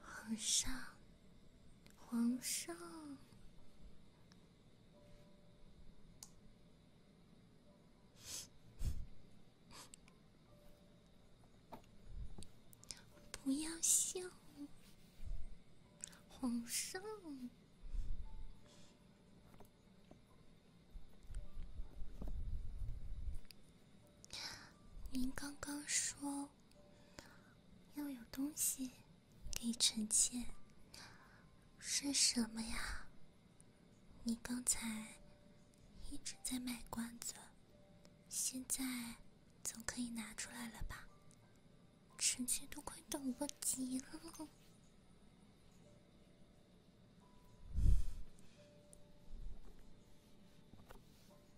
皇上，皇上，不要笑，皇上，您刚刚说。要有东西给臣妾，是什么呀？你刚才一直在卖关子，现在总可以拿出来了吧？臣妾都快等不及了。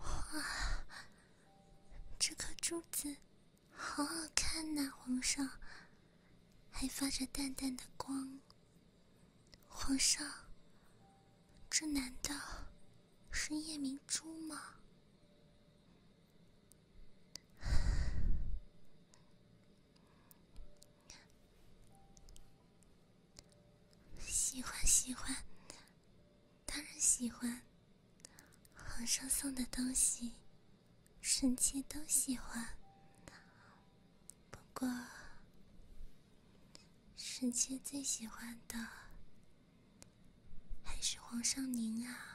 哇，这颗珠子好好看呐，皇上，还发着淡淡的光。皇上，这难道是夜明珠吗？喜欢喜欢，当然喜欢。皇上送的东西，臣妾都喜欢。不过，臣妾最喜欢的还是皇上您啊。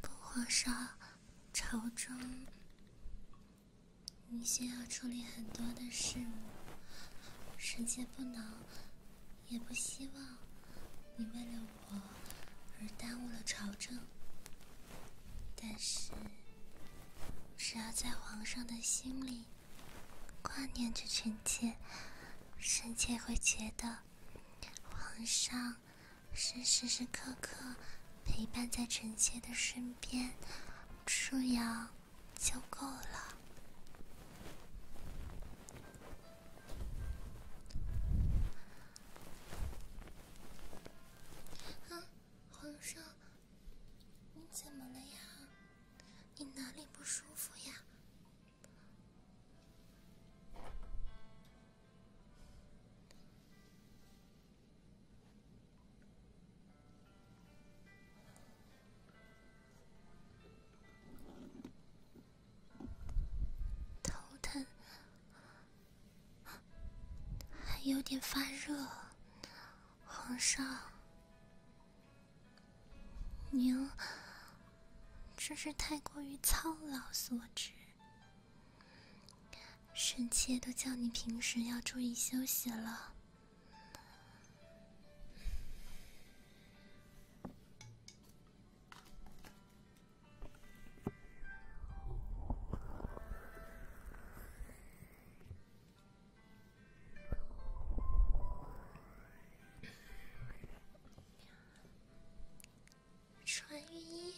不，皇上，朝中你需要处理很多的事，臣妾不能，也不希望你为了我而耽误了朝政。但是，只要在皇上的心里挂念着臣妾，臣妾会觉得。皇上是时时刻刻陪伴在臣妾的身边，这样就够了。皇上，你怎么了呀？你哪里不舒服呀？头疼，还有点发热，皇上。娘，这是太过于操劳所致。臣妾都叫你平时要注意休息了。穿御衣？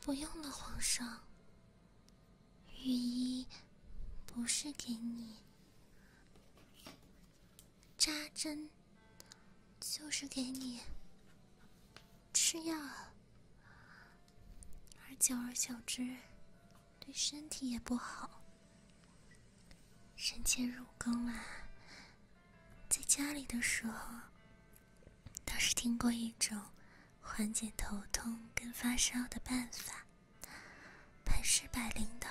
不用了，皇上。御医不是给你扎针，就是给你吃药，而久而久之。对身体也不好。臣妾入宫了，在家里的时候，倒是听过一种缓解头痛跟发烧的办法，百试百灵的。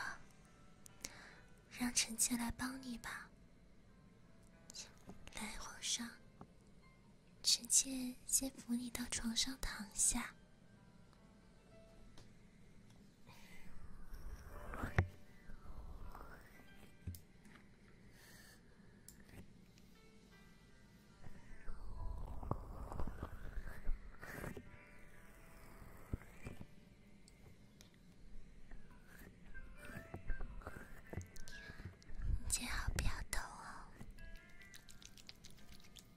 让臣妾来帮你吧。来，皇上，臣妾先扶你到床上躺下。你最好不要动哦。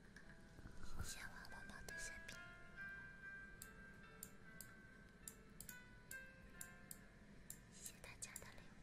谢谢我妈妈的视频，谢谢大家的礼物。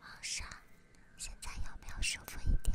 皇上，现在有没有舒服一点？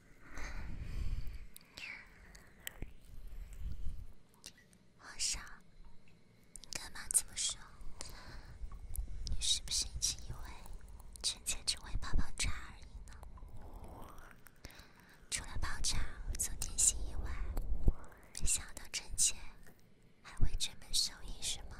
皇上，你干嘛这么说？你是不是一直以为臣妾只会泡泡茶而已呢？除了泡茶做点心以外，没想到臣妾还会专门手艺什么？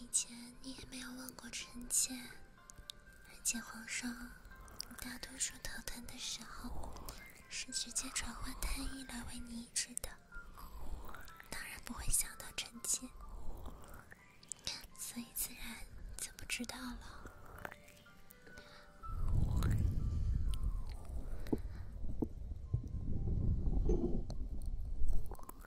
以前你也没有问过臣妾，而且皇上大多数头疼的时候是直接传唤太医来为你医治的，当然不会想到臣妾，所以自然就不知道了。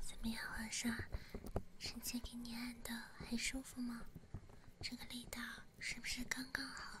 怎么样，皇上？臣妾给你按的很舒服吗？这个力道是不是刚刚好？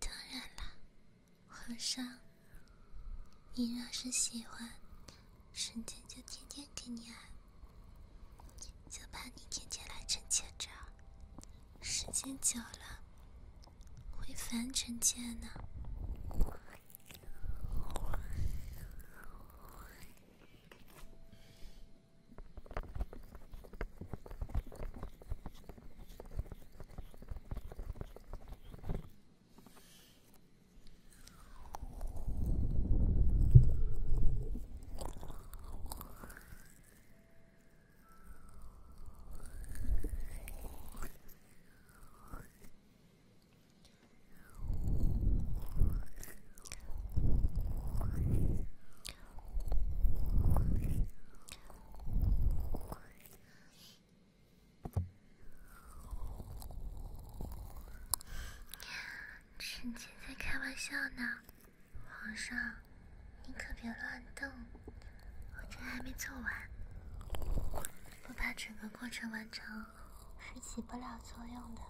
当然啦，皇上，你若是喜欢，臣妾就天天给你按，就怕你天天来臣妾这儿，时间久了。回凡尘界呢。臣妾在开玩笑呢，皇上，你可别乱动。我这还没做完，不怕整个过程完成，是起不了作用的。